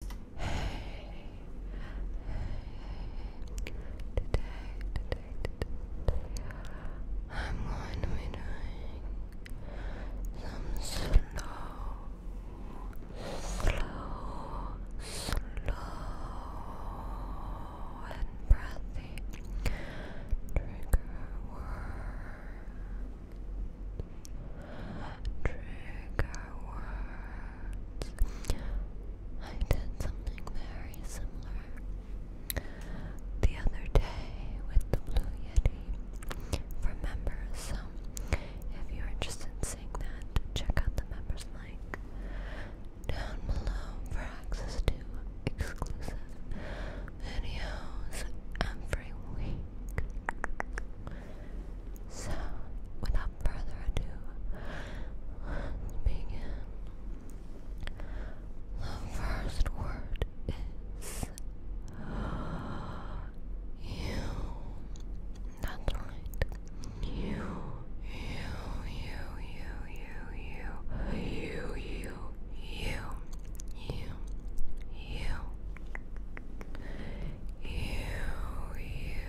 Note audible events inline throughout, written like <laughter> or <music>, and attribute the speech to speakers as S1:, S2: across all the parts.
S1: today, today, I'm going to be doing some slow, slow, slow and breathy trigger work. Trigger words. I did something very similar the other day with the Blue Yeti for members. if you're interested in seeing that, check out the members link down below for access to exclusive videos every week. So, without further ado, The first word is you. That's right. You, you, you, you, you, you, you, you, you, you, you. You, you,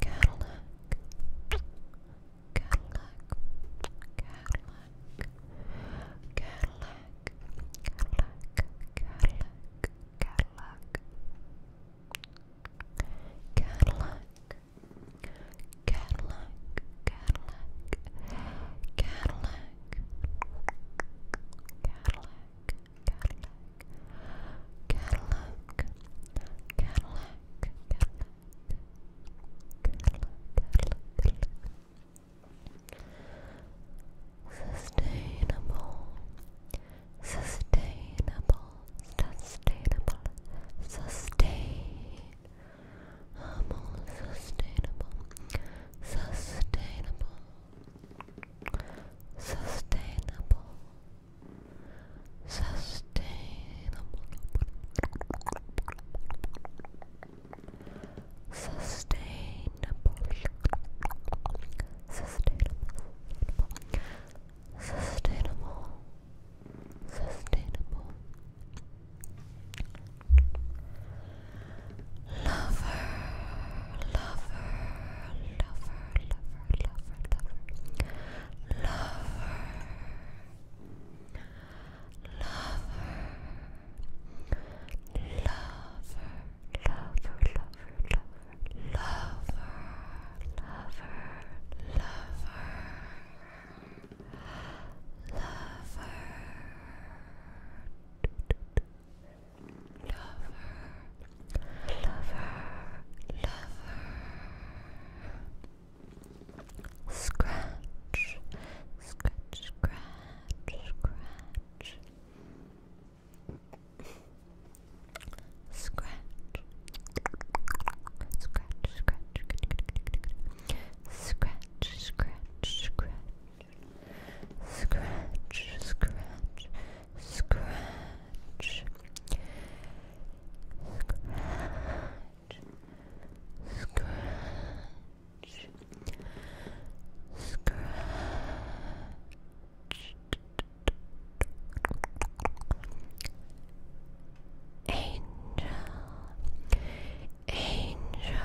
S1: Cadillac, Cadillac, Cadillac, Cadillac, Cadillac, Cadillac, Cadillac, Cadillac, Cadillac, Cadillac, Cadillac, Cadillac, Cadillac, Cadillac, Cadillac, Cadillac, Sustainable, sustainable, sustainable, sustain. Um, sustainable, sustainable, Sustainable. Sustainable. Sustainable. Sustainable. Sustainable. Sustainable. Lover, lover, lover, lover, lover, lover, lover, lover, lover, lover, lover, lover, lover, lover. Lover, lover, lover, lover.
S2: Scratch, scratch, scratch, scratch. Scratch. Scratch, scratch, scratch, scratch, scratch, scratch, scratch, scratch, scratch, scratch, scratch. Scratch, scratch,
S1: angel, angel,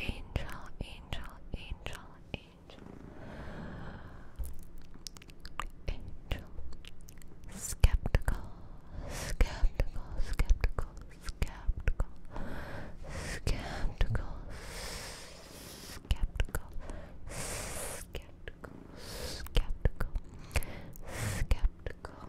S1: angel, angel, angel, angel, angel, skeptical, skeptical, skeptical, skeptical, skeptical, skeptical, skeptical, skeptical, skeptical.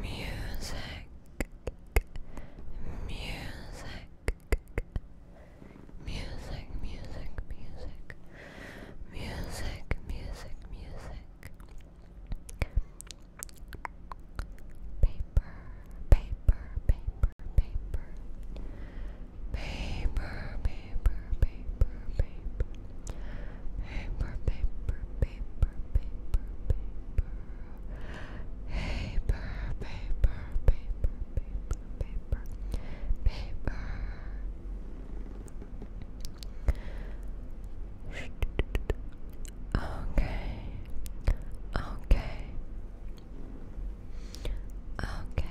S1: music, music, music, music, music, music, music, music, paper, paper, paper, paper, paper, paper, paper, paper. Paper, paper, paper, paper, paper. Paper, paper, paper, paper, paper, paper. Okay, okay, okay, okay.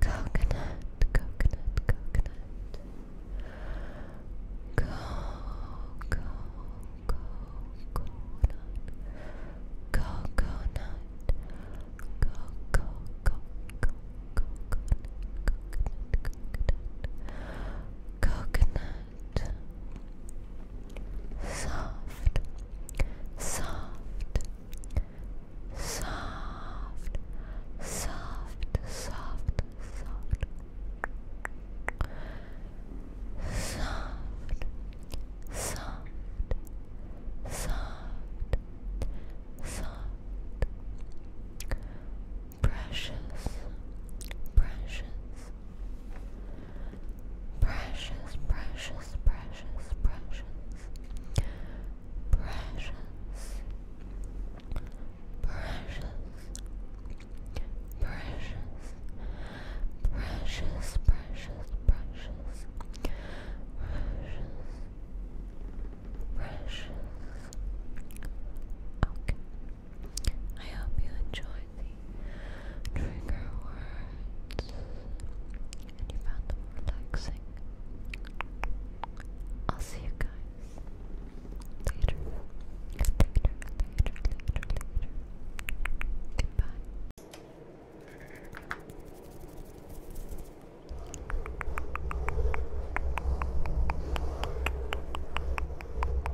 S1: Coconut, coconut, coconut. Go, go, go, coconut. Coconut. Go, go, go, go, coconut, coconut, coconut. Coconut, soft, soft, soft, soft, soft, soft. Soft, soft, soft, soft, precious, precious, Precious, precious, precious, precious, precious, precious, precious, precious, precious, precious, precious, precious. Okay. I hope you enjoy the trigger words and you found them relaxing. I'll see you guys later. Later, later, later, later. Goodbye.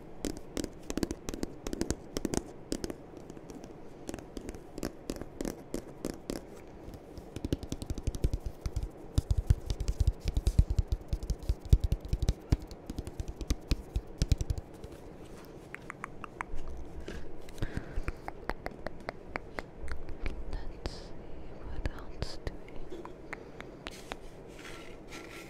S1: Let's see what else do we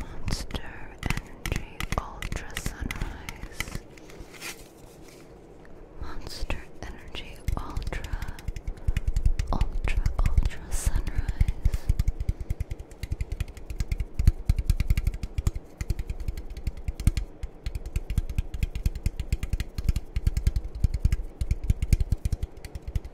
S1: Monster Energy Ultra Sunrise. Monster Energy Ultra, Ultra, Ultra Sunrise.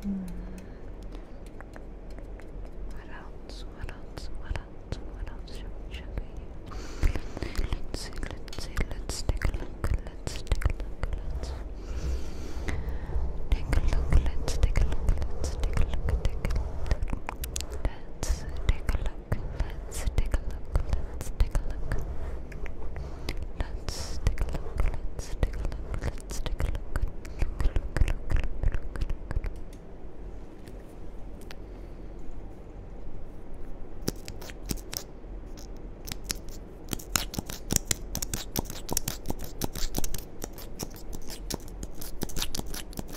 S1: Mm. What else? What else? What else? What else should, should we do? Let's see, let's see, let's take a look, let's take a look, let's take a look, let's take a look, let's take a look, take a look, let's take a look look, let's take a look, let's take a look. Let's take a look, let's take a look, let's take a look. Look, look, look, look, look, look. Look,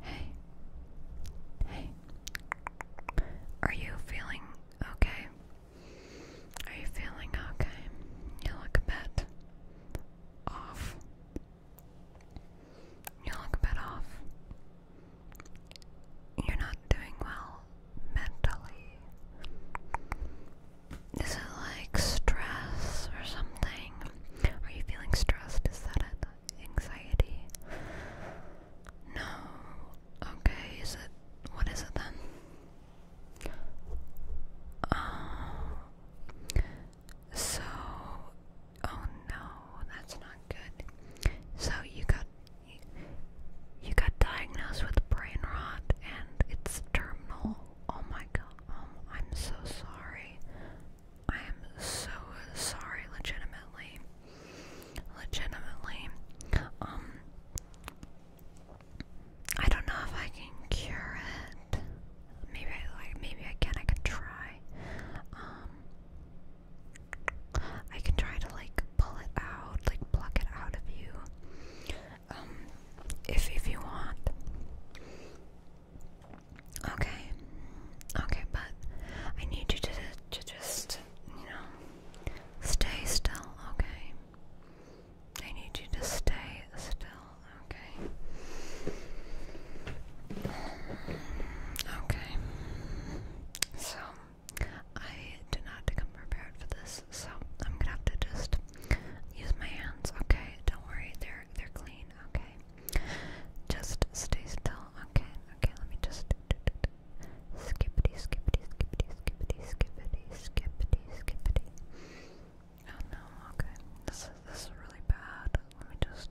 S1: Hey. Hey. Are you feeling okay? Are you feeling okay? You look a bit off. You look a bit off. You're not doing well mentally. Is it like stress or something? Are you feeling stressed? Is that it? Anxiety? No. Okay, is it what is it then? Oh so oh no, that's not good. So you got you, you got diagnosed with brain rot and it's terminal. Oh my god, um, I'm so sorry. I am so sorry, legitimately. Legitimately. Um, I don't know if I can cure it. Maybe like. Maybe I can. I can try. Um, I can try to like pull it out, like pluck it out of you. Um, if if you want. Okay, okay, but I need you to to just you know stay still. Okay, I need you to stay still. Okay, okay. So I did not come prepared for this, so I'm gonna have to just use my hands. Okay, don't worry, they're they're clean. Okay. Just stay still. Okay, okay, let me just skippity, skippity, skippity, skippity, skippity, skippity, skippity. Oh no, okay. This is this is really bad. Let me just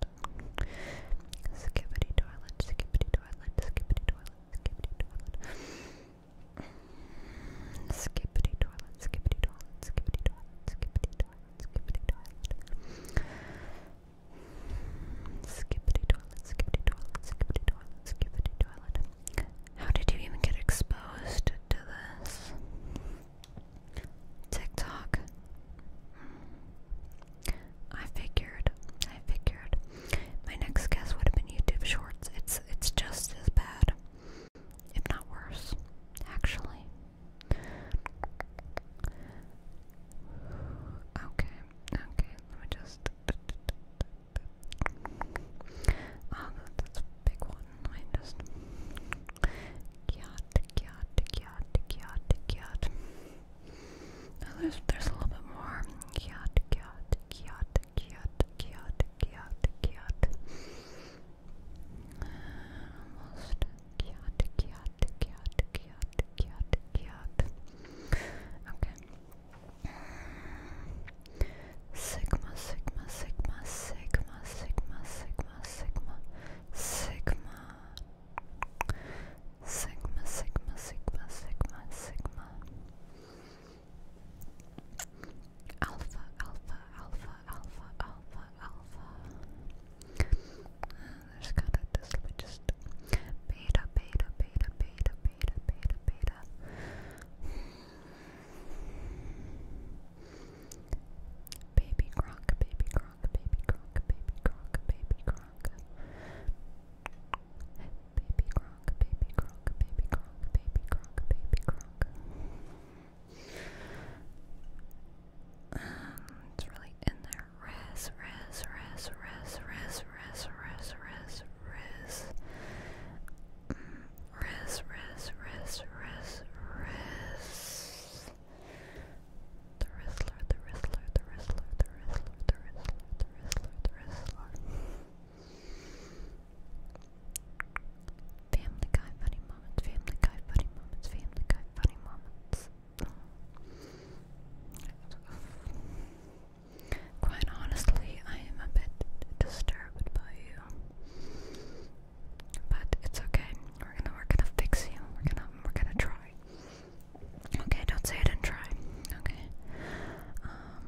S1: skippity toilet, skippity toilet, skippity toilet, skippity toilet. Skippity toilet, skippity toilet, skippity toilet, skippity toilet, toilet. Skippity toilet, skippity toilet, skippity toilet, How did you even get exposed to this? TikTok. Hmm. I figured. I figured. My next guess would have been YouTube Shorts. It's it's just as bad, if not worse, actually. Okay, okay, let me just. Oh, <laughs> that's a big one. I just. Gyat, gyat, gyat, gyat, gyat. Now there's, there's a little bit more. Gyat, gyat, gyat, gyat, gyat, gyat, gyat. Almost. Kiat, kiat, kiat, kiat, kiat, kiat. Okay. Sigma, sigma, sigma, sigma, sigma, sigma, sigma, sigma. Sigma, sigma, sigma, sigma, sigma. Alpha, alpha, alpha, alpha, alpha, alpha. And there's kind of this, let me just beta, beta, beta, beta, beta, beta, beta. Baby Gronk, baby Gronk, baby Gronk, baby Gronk, baby Gronk. Baby Gronk, baby Gronk, baby Gronk, baby Gronk, baby Gronk. Um, it's really in there. Res, res, res, res, res, res, res, res, res. Mm, res, res, res, res, res. The wrestler, the wrestler, the wrestler, the wrestler, the wrestler, the wrestler, the wrestler. Family Guy funny moments, Family Guy funny moments, Family Guy funny moments. Quite honestly, I am a bit disturbed by you, but it's okay. We're gonna we're gonna fix you. We're gonna we're gonna try. Okay, don't say I didn't try. Okay. Um,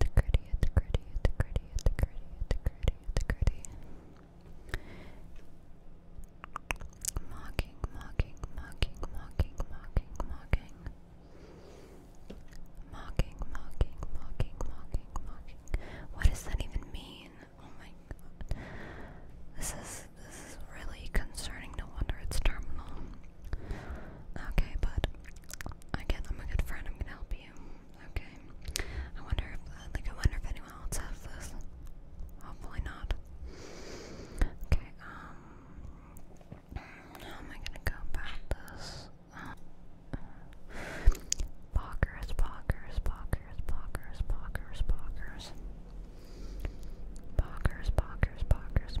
S1: It's gritty, it's gritty, it's gritty, it's gritty, it's gritty, it's gritty. Mocking, mocking, mocking, mocking, mocking, mocking. Mocking, mocking, mocking, mocking, mocking. What does that even mean? Oh my god. This is this is really concerning. No wonder it's terminal. Okay, but again, I'm a good friend. I'm gonna help you. Okay. I wonder if, uh, like, I wonder if anyone else has this. Hopefully not. Okay. Um. How am I gonna go about this? Uh, Boggers, boggers, boggers, boggers, boggers, boggers. Boggers, boggers, boggers,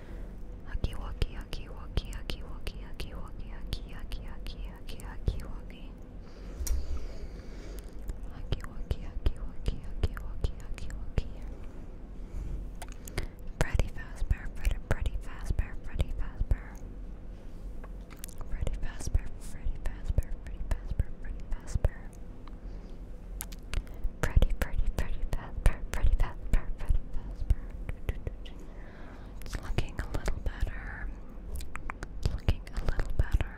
S1: Huggy Wuggy Huggy Wuggy Huggy Wuggy Huggy Wuggy Huggy Huggy Huggy Huggy Huggy Wuggy Huggy Wuggy Huggy Wuggy Huggy Wuggy Huggy Wuggy Freddy Fazbear Freddy Freddy Fazbear Freddy Fazbear Freddy Fazbear Freddy Fazbear Freddy Fazbear Freddy Fazbear Freddy Freddy Freddy Fazbear Freddy Fazbear Freddy Fazbear it's looking a little better. looking a little better.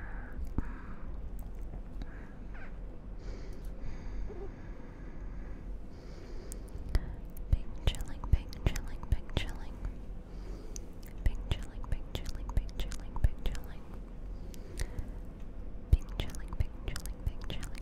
S1: Mm. chilling, bing chilling, bing chilling. Bing chilling, bing chilling, bing chilling, bing chilling. Bing chilling.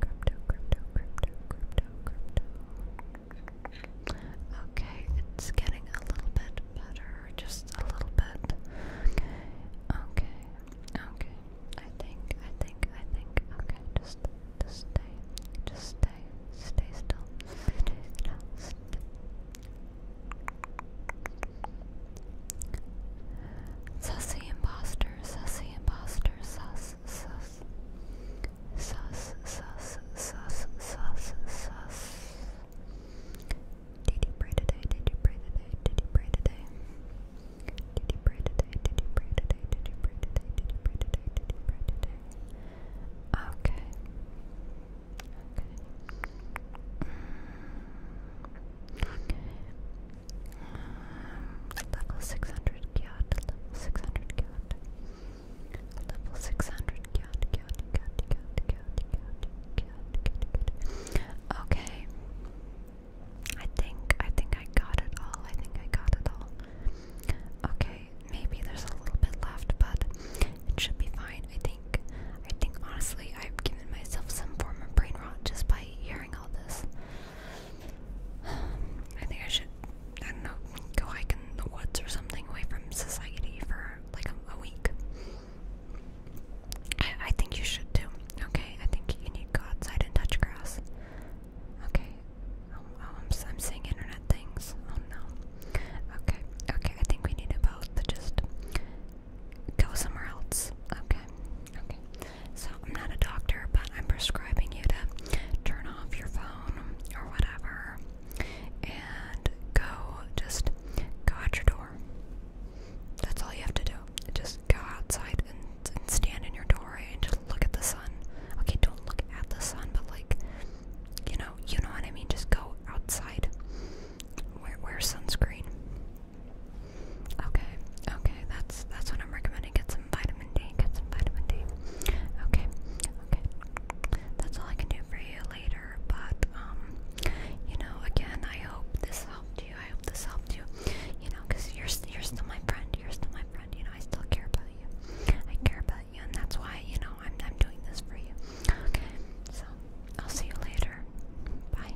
S1: Crypto, crypto, Okay, it's getting a little bit better, just a little bit. Okay, okay, I think, I think, I think. Okay, just, just stay, just stay, stay still. Stay still. Sussy imposter, sussy imposter, sus, sus. Sus, sus, sus, sus, sus. Did you pray today? Did you pray today? Did you pray today? Did you pray today? Did you pray today? Did you pray today? Did you pray today? Did you pray today? Okay. Okay. Mm. Um, level 600 cat, 600 cat. Level 600 cat, cat, cat, cat, cat, cat, cat, cat. Okay. I think I think I got it all. I think I got it all. Okay, maybe there's a little bit left, but it should be fine. I think I think honestly I've given myself some form of brain rot just by hearing all this. <sighs> I think I should, I don't know, go hike in the woods or something away from society for like a, week. I, think you should too. Okay, I think you need to go outside and touch grass. Okay. Um, oh, I'm, i internet things. Oh no. Okay, okay, I think we need about the just go somewhere else. Okay, okay. So I'm not a doctor, but I'm prescribing you to turn off your phone or whatever, and go just go out your door. That's all you have to do. Just go outside and, stand in your doorway and just look at the sun. Okay, don't look at the sun, but like, you know, you know what I mean. Just go outside. Wear, wear sunscreen. Okay, okay, that's that's what I'm recommending. Get some vitamin D, get some vitamin D. Okay, okay. That's all I can do for you later, but um you know, again, I hope this helped you. I hope this helped you. You know, because you're you're still my friend. You're still my friend. You know, I still care about you. I care about you, and that's why you know I'm I'm doing this for you. Okay, so I'll see you later. Bye.